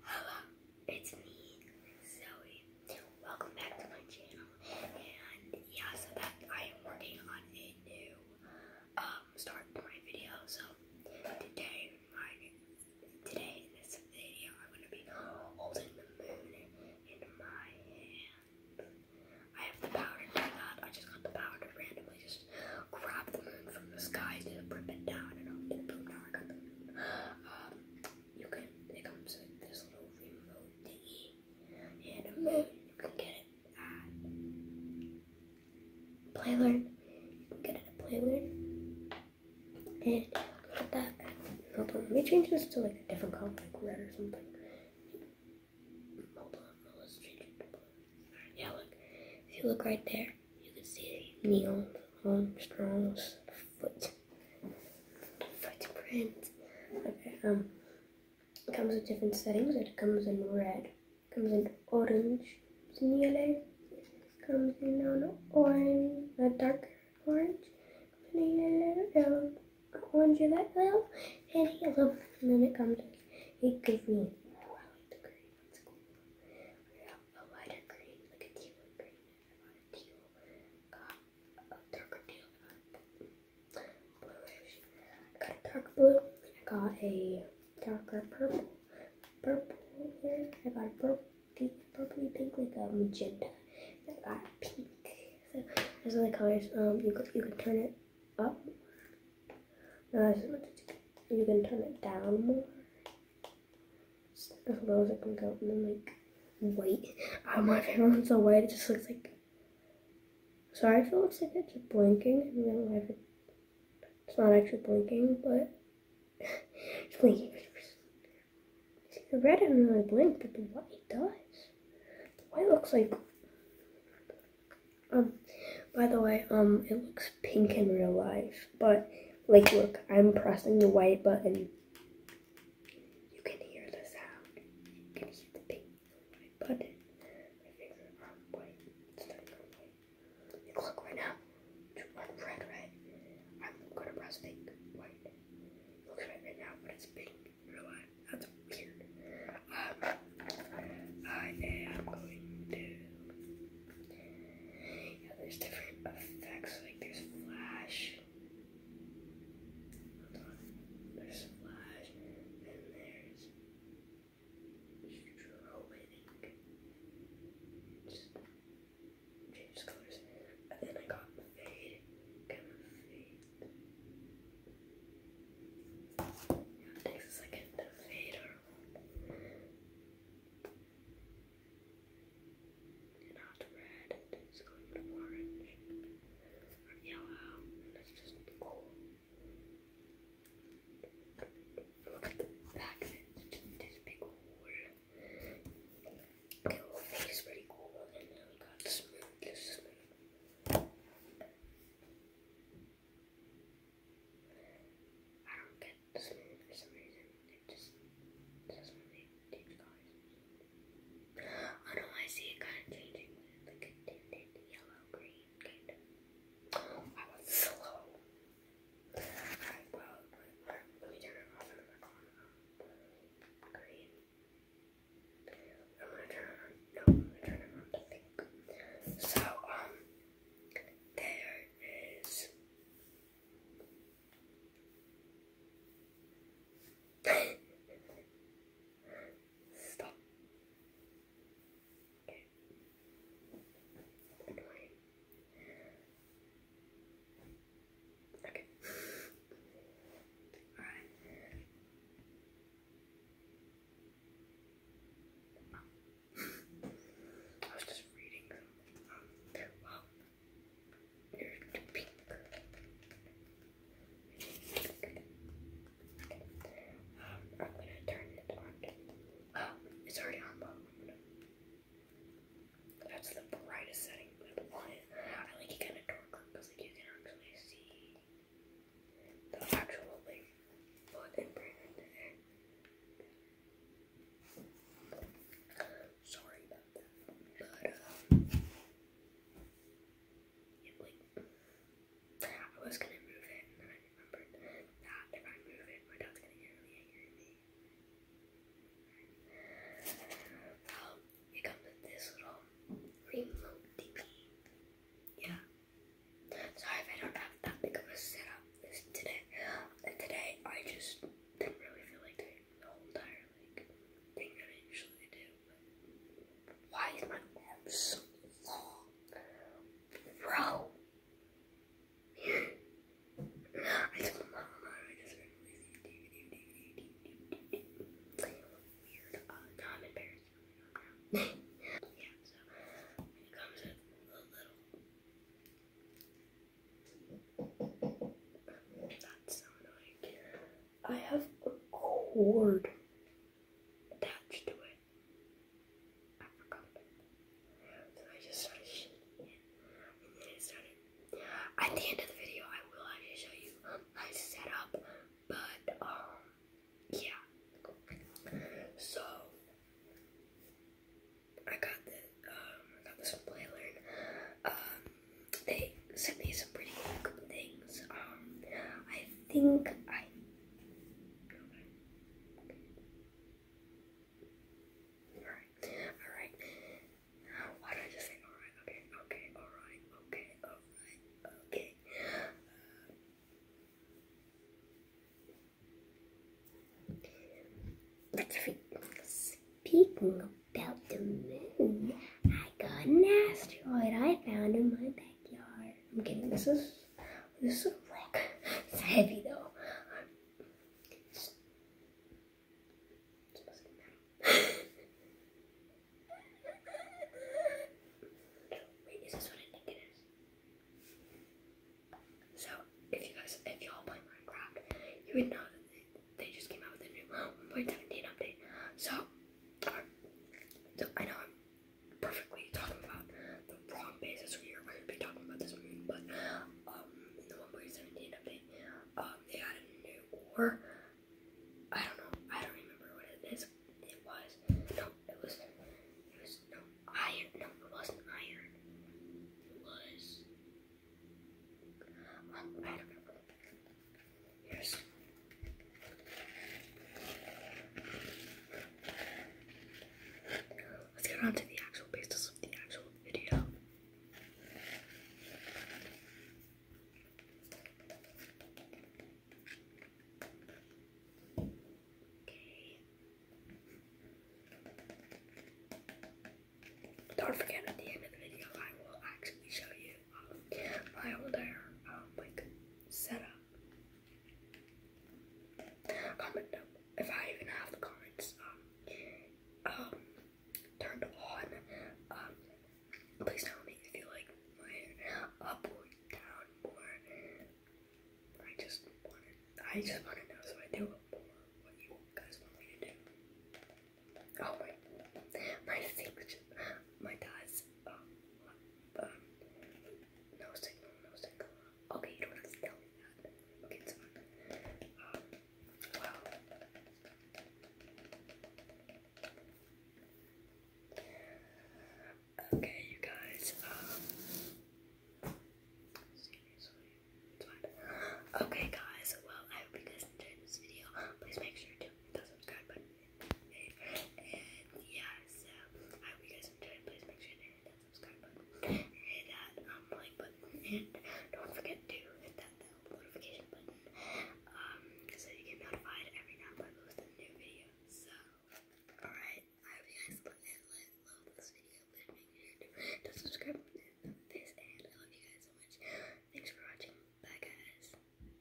Hello, it's me, Zoe. Welcome back to my channel. And yeah, so I am working on a new um, start to video. So today, my today in this video, I'm gonna be holding the moon in my hand. I have the powder for that. I just got the powder randomly. Just just the moon from the sky to didn't rip it down the moon. Um, you can, it comes with this little remote thingy and a moon. You can get it at Playlearn. You can get it at Playlearn. And look at that. Hold on, let me change this to like a different color, like red or something. Hold on, let's change it yeah, look. If you look right there, you can see Neil Armstrong's foot footprint. Okay, um, it comes with different settings. It comes in red, comes in orange, it comes in yellow, it comes in orange, a dark orange, it comes in yellow, and yellow, then it comes in a green. Wow, the I have a lighter green, like a teal green, and on a teal, got a darker teal, I got a dark blue, I got a darker purple, purple here, I got a purple, pink, purpley pink, like a magenta, I got pink. So those are the colors. Um, you, you can turn it up now you can turn it down more. as low as it can go, and then like white. Oh, my favorite one's so white. It just looks like. Sorry if it looks like it's blinking. it's not actually blinking, but it's blinking. the red doesn't really blink, but the white does. The white looks like um, by the way, um, it looks pink in real life, but like, look, I'm pressing the white button. You can hear the sound. You can hear the pink white button. My finger on white. It's not on white. Look right now. It's on red, I'm gonna press pink, white. It looks right now, but it's pink. That's weird. I am going to. Yeah, there's different effects. Like there's flash. There's flash, and there's strobing. Just change colors, and then I got fade, kind Takes a second to fade around. red, it's going to orange or yellow, it's just cool. Look at the back it's just big hole. Okay, well, face is pretty cool, and then we got the I don't get this for some reason. It just doesn't really change colors. Oh no, I see it kind of changing like a tinted yellow green kind of. I was slow. Alright, well, let me turn it off and back on. Green. I'm gonna turn on. No, I'm gonna turn it on. I think. So, um, there is. Stop. Okay. Okay. Alright. Oh. I was just reading Um, wow. You're pink. Okay. Um, I'm gonna turn it on. Oh, it's already on, but that's the brightest setting. But I like it kind of darker because like you can actually see the actual like blood imprint in there. Sorry about that, but um, like I was gonna move it, and then I remembered that if I move it, my dad's gonna get me. Um, it comes with this little remote thingy. Yeah. Sorry if I don't have that big of a setup this today. And today I just didn't really feel like doing the whole entire like thing that I usually do. But why is my arm so long? Bro. I told my mom I just been releasing DVD, yeah, so it comes with a little. That's so annoying. I have a cord attached to it. I just started and then it started. At the end of the video, I will actually show you how to set but um, yeah. So I got this. um, I got this from Playlearn. Um, they sent me some pretty cool things. Um, I think I. Alright, alright. Why did I just say alright? Okay, okay, alright, okay, okay. Speaking about the moon, I got an asteroid I found in my backyard. I'm kidding, this is this is a rock. It's heavy though. So, if you guys, if y'all play Minecraft, you would know that they, just came out with a new 1.17 update. So, so I know perfectly talking about the wrong basis we are going to be talking about this movie, but um, in the 1.17 of it, um, they had a new war. I don't know. I don't remember what it is. It was no. It was it was no iron. No, it wasn't iron. It was. Um, I don't remember. Here's let's get on to the actual basis of the actual video. Okay. Don't forget at the end of the video, I will actually show you um, my older um, like setup Comment if I even have the comments um, um, turned on. Um, please tell me if you like my up or down more. I just want to, I just want to know so I do more what you guys want me to do. Oh my, my favorite, my dad's um, um, no signal, no signal. Okay, you don't have to tell me that. Okay, you guys, um, Okay, guys, well, I hope you guys enjoyed this video. Please make sure to hit the subscribe button yeah, so I hope you guys enjoyed. Please make sure to hit that subscribe button, hit that like button, and don't forget to hit that notification button um, so you get notified every time I post a new video. So, alright, I hope you guys love, love this video. make sure to, to subscribe on and I love you guys so much. Thanks for watching. Bye, guys.